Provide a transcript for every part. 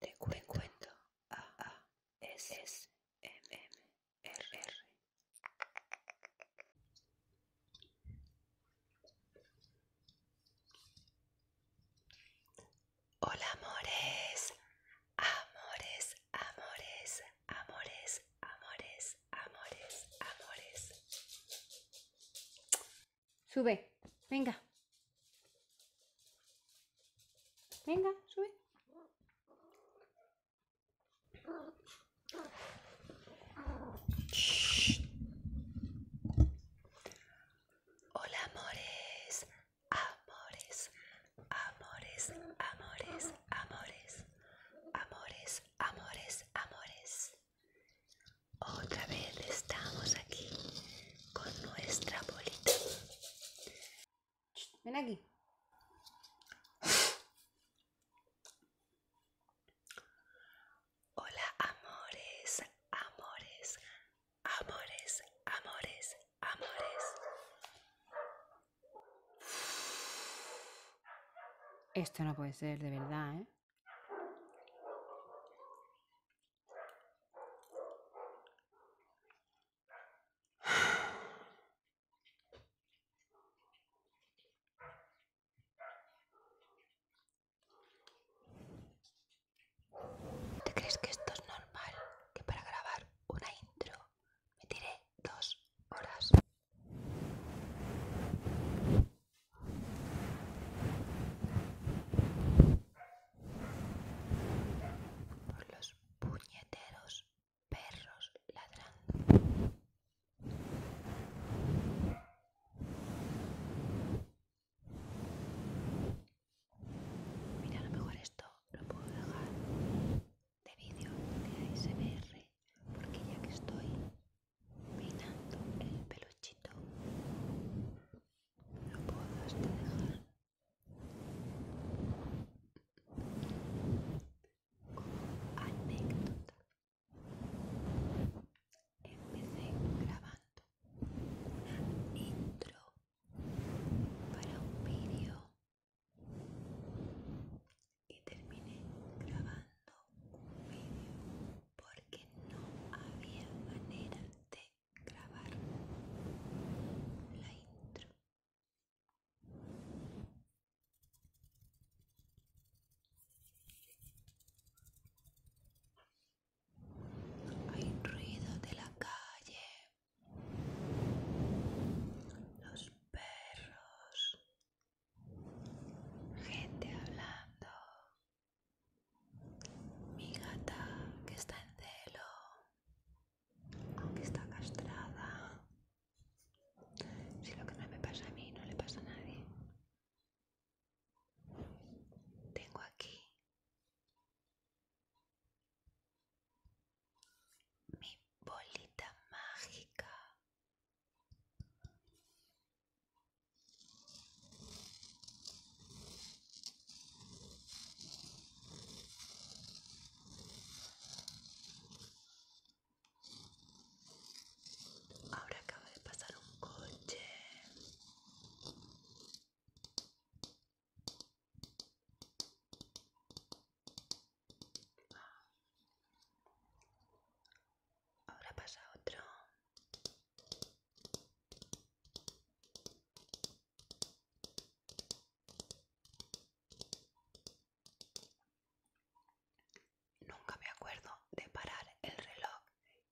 De cuento A A S M Hola amores, amores, amores, amores, amores amores, amores. Sube, venga. Venga, sube. Hola, amores, amores, amores, amores, amores, amores, amores, amores. Otra vez estamos aquí con nuestra bolita. Ven aquí. Hola amores, amores, amores, amores, amores. Esto no puede ser, de verdad, ¿eh? ¿Te crees que esto es normal? Que para grabar una intro me tiré dos horas por los puñeteros perros ladrando. Mira, a lo mejor esto lo puedo dejar de vídeo de ASMR porque ya que estoy peinando el peluchito no puedo dejar como anécdota empecé grabando una intro para un vídeo y terminé grabando un vídeo porque no había manera de grabar la intro. Hay ruido de la calle, los perros, gente hablando, mi gata que está en celo, aunque está castrada. Si lo que no me pasa a mí no le pasa a nadie. Tengo aquí mi bolita mágica Ahora acaba de pasar un coche. Ahora pasa otro. Nunca me acuerdo de parar el reloj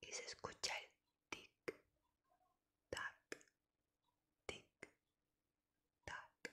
y se escucha el tic, tac, tic, tac,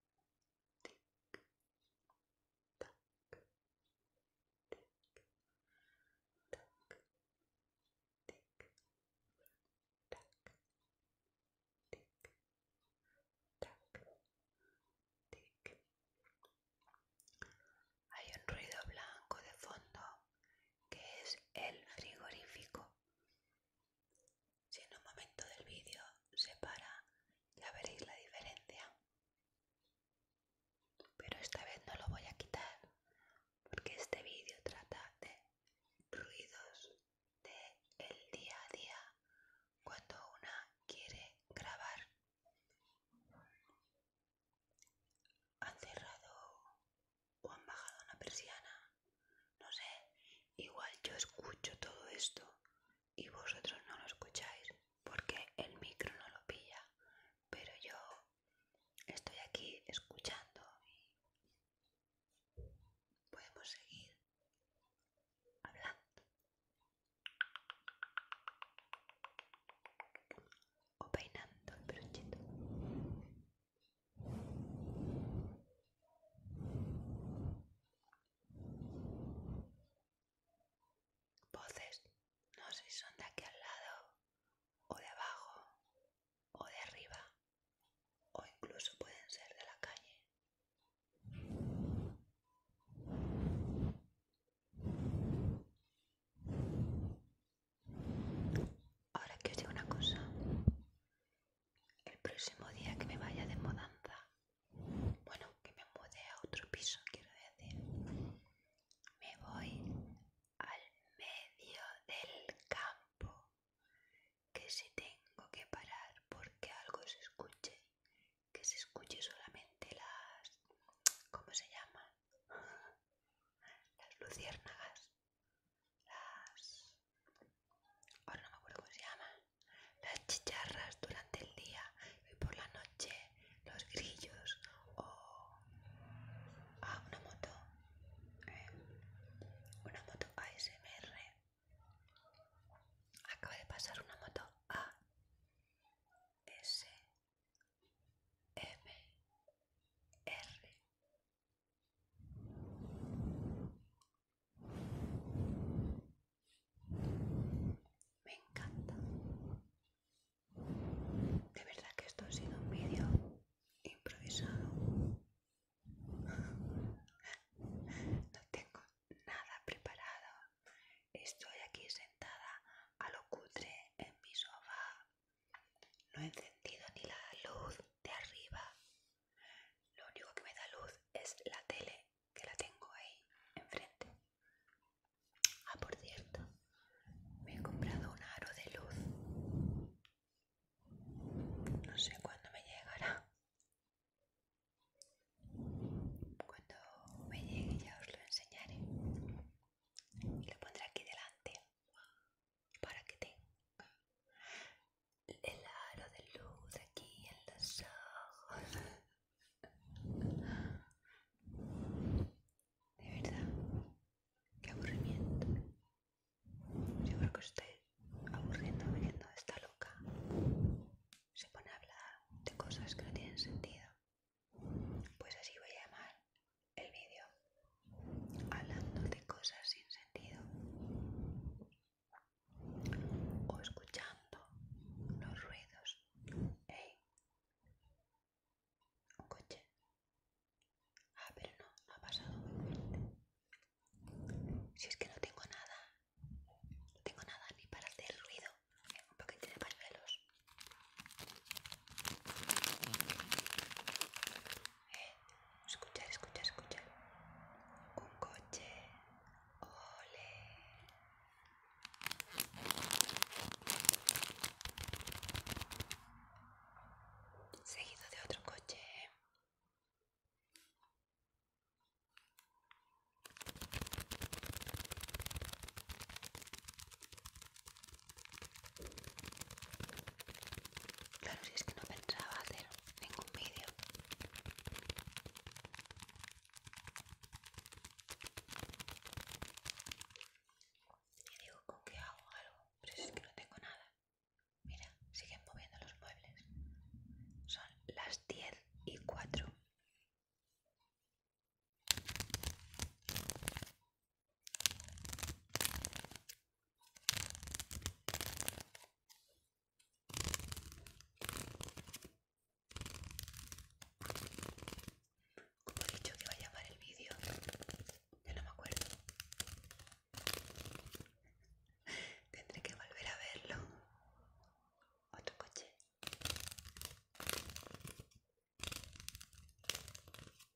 hay un ruido blanco de fondo que es el frigorífico. Si en un momento del vídeo se para, ya veréis la diferencia. Pero esta vez no lo voy a quitar, porque este vídeo trata de ruidos del día a día cuando una quiere grabar. Han cerrado o han bajado una persiana no sé, igual yo escucho todo esto y vosotros no lo escucháis porque el micro no lo pilla, pero yo estoy aquí escuchando y podemos seguir hablando o peinando el brochito. Voces, no sé si son de aquí al lado, o de abajo, o de arriba, o incluso pueden ser de la calle. Ahora que os digo una cosa, el próximo día que me vaya de mudanza, bueno, que me mude a otro piso, quiero decir, me voy al medio del campo, que si tengo que parar porque algo se escuche, que se escuche solamente las, ¿cómo se llama? Las luciérnagas las ahora no me acuerdo cómo se llama las chicharras durante el día y por la noche los grillos o ah, una moto eh, una moto ASMR acaba de pasar una moto A S M R me encanta. De verdad que esto ha sido un vídeo improvisado. No tengo nada preparado. Estoy aquí sentada a lo cutre en mi sofá. No he encendido ni la luz de arriba lo único que me da luz es la tele que la tengo ahí enfrente. Ah, por cierto, me he comprado un aro de luz. No sé cuándo me llegará. Cuando me llegue ya os lo enseñaré. Lo pondré aquí delante para que tenga el aro de luz aquí en los ojos. De verdad, qué aburrimiento. Yo creo que estoy aburriendo viendo esta loca. Se pone a hablar de cosas que no tienen sentido. Pues así voy a llamar el vídeo hablando de cosas sin sentido o escuchando los ruidos. Hey, un coche. Ah, pero no, ha pasado Si es que no tengo nada, no tengo nada ni para hacer ruido. Un paquete de pañuelos. Escucha, escuchar, escuchar, escuchar. Un coche. Ole. Seguido de otro coche. Claro, si es que no pensaba hacer ningún vídeo. Y digo, ¿con qué hago algo? Pero es que no tengo nada. Mira, siguen moviendo los muebles. Son las 10 y 4. Como he dicho que vaya a llamar el vídeo, ya no me acuerdo. Tendré que volver a verlo. Otro coche.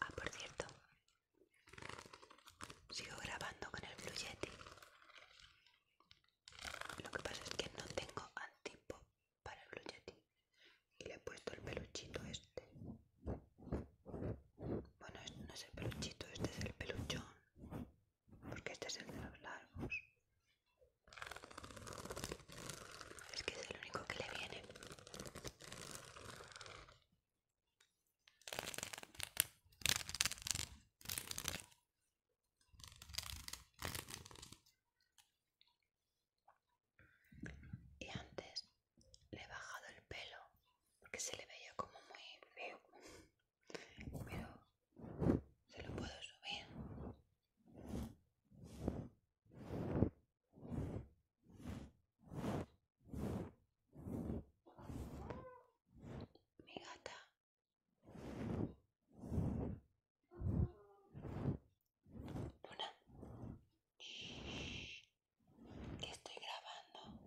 Ah, por cierto, sigo grabando con el Blue Yeti. Lo que pasa es que no tengo antipo para el Blue Yeti y le he puesto el peluchito este. Bueno, este no es el peluchito, este es el peluchón, porque este es el de los largos. Es que es el único que le viene. Y antes le he bajado el pelo porque se le veía como muy feo. Pero se lo puedo subir. Mi gata. Luna. Que estoy grabando.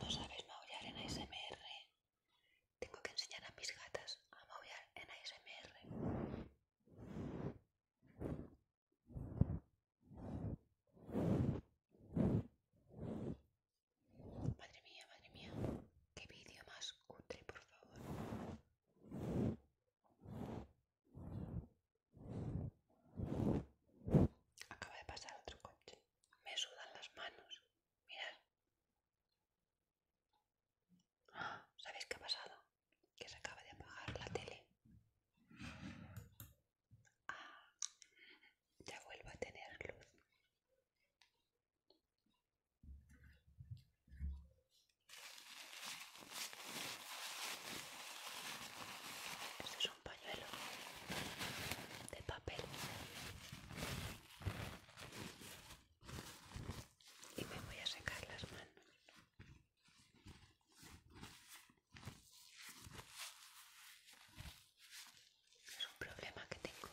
No sabes maullar en ASMR. Tengo que enseñar a mis gatas a maullar en ASMR. Madre mía, madre mía, qué vídeo más cutre, por favor. Acaba de pasar otro coche. Me sudan las manos. Mirad. ¿Sabéis qué ha pasado? Que se acaba de apagar la tele. Ah, ya vuelvo a tener luz. Este es un pañuelo de papel y me voy a secar las manos. Es un problema que tengo.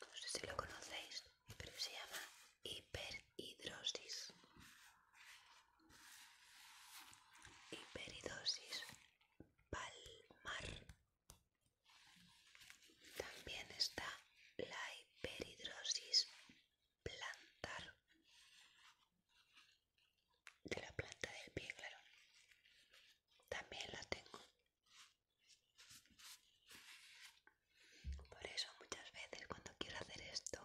No sé si lo conocéis, pero se llama hiperhidrosis. hiperhidrosis palmar también está la hiperhidrosis plantar de la planta del pie, claro. También la tengo. Por eso muchas veces cuando quiero hacer esto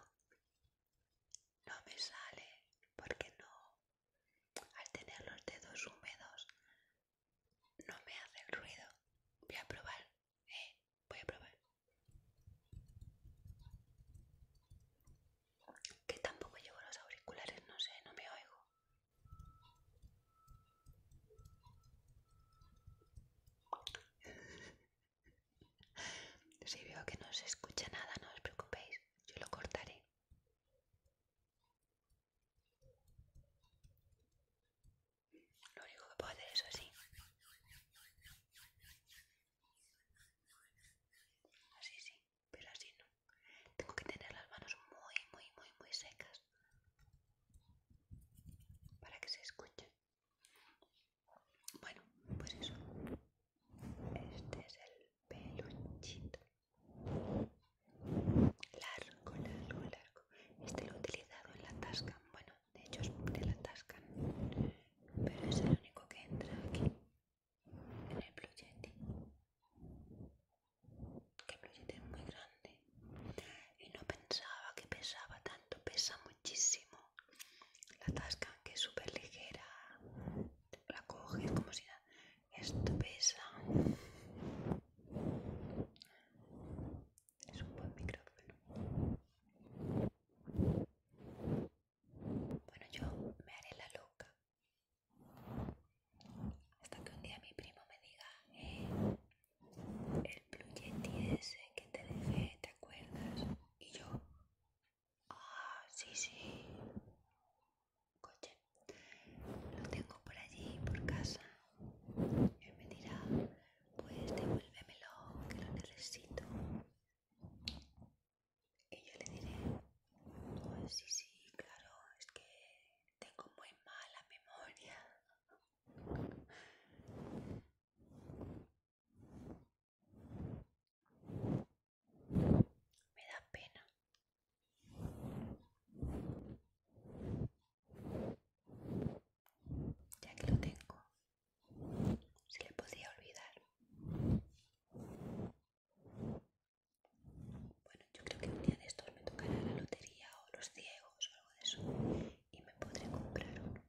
no me sale porque no al tener los dedos húmedos no me hace el ruido. Voy a probar eh, voy a probar. Que tampoco llevo los auriculares, no sé, no me oigo. Si veo que no se escucha nada, no os preocupéis, yo lo cortaré. Lo único que puedo hacer es así. Así sí, pero así no. Tengo que tener las manos muy, muy, muy, muy secas para que se escuche. Bueno, pues eso. Este es el peluchito. Largo, largo, largo. Este lo he utilizado en la Tasca bueno, de hecho es de la Tasca pero es el único que entra aquí, en el Blue Que el es muy grande y no pensaba que pesaba tanto, pesa muchísimo. La Tasca que es súper ligera, la coge como si Esto pesa es un buen micrófono. Bueno, yo me haré la loca. Hasta que un día mi primo me diga, eh, el plugin ese que te dejé, ¿te acuerdas? Y yo, ah, sí, sí. Coche. Lo tengo por allí, por casa. Él me dirá, pues devuélvemelo, que lo necesito. Y yo le diré, pues sí, sí, claro, es que tengo muy mala memoria. Me da pena. Ya que lo tengo, se le podía olvidar. Bueno, yo creo que un día de estos me tocará la lotería o los ciegos o algo de eso y me podré comprar uno.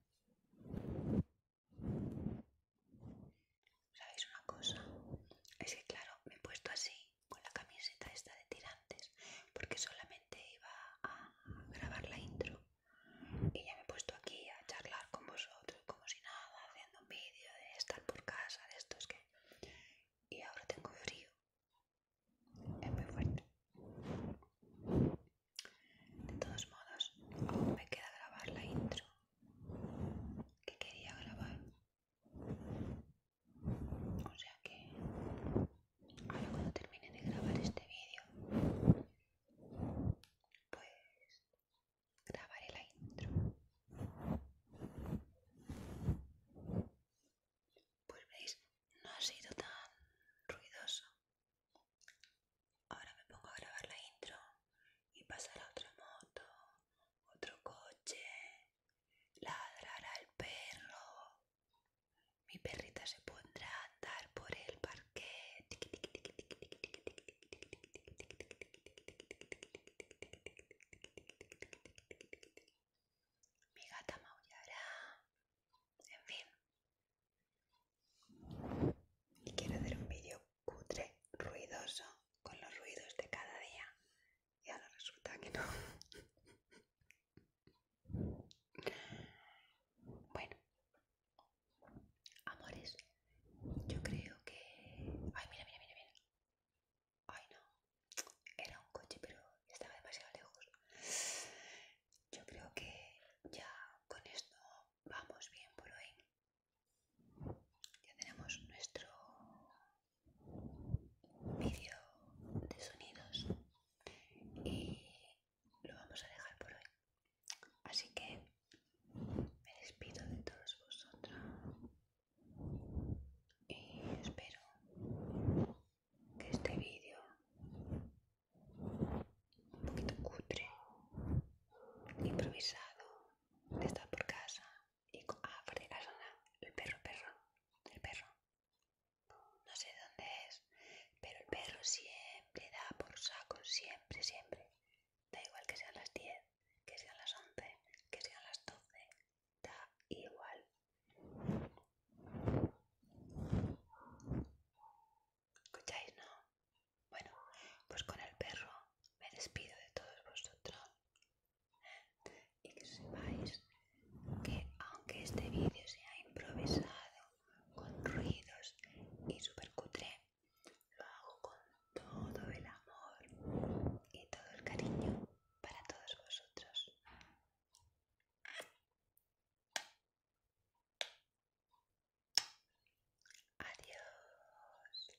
¿Sabéis una cosa? Es que claro, me he puesto así con la camiseta esta de tirantes porque solamente iba a grabar la intro y ya me he puesto aquí a charlar con vosotros como si nada, haciendo un vídeo de estar por casa, de estos que... Y ahora tengo frío. Es muy fuerte. De todos modos, aún me queda grabar la intro que quería grabar. O sea que ahora cuando termine de grabar este vídeo, pues grabaré la intro. Pues veis, no ha sido tan ruidoso. Ahora me pongo a grabar la intro y pasar a otra moto, otro coche, ladrará el perro, mi perrita se pondrá a andar por el parque. Mi gata maullará. En fin. Y quiero hacer un vídeo cutre, ruidoso, con los ruidos de cada día y ahora resulta que no. Bueno, amores, yo creo que. Ay, mira, mira, mira, mira. Ay, no. Era un coche, pero estaba demasiado lejos. Yo creo que ya con esto vamos bien por hoy. Ya tenemos nuestro vídeo de sonidos y lo vamos a dejar por hoy. Así que me despido de todos vosotros y espero que este vídeo un poquito cutre, improvisado, de estar por casa y ah, por de el perro, perro, el perro, no sé dónde es, pero el perro siempre da por saco, siempre, siempre. Da igual que sean las 10, que sean las 11, que sean las 12, da igual. ¿Escucháis, no? Bueno, pues con el perro me despido de todos vosotros y que sepáis que aunque este vídeo sea improvisado, con ruidos y super cutre, lo hago con todo el amor y todo el cariño para todos vosotros. Adiós.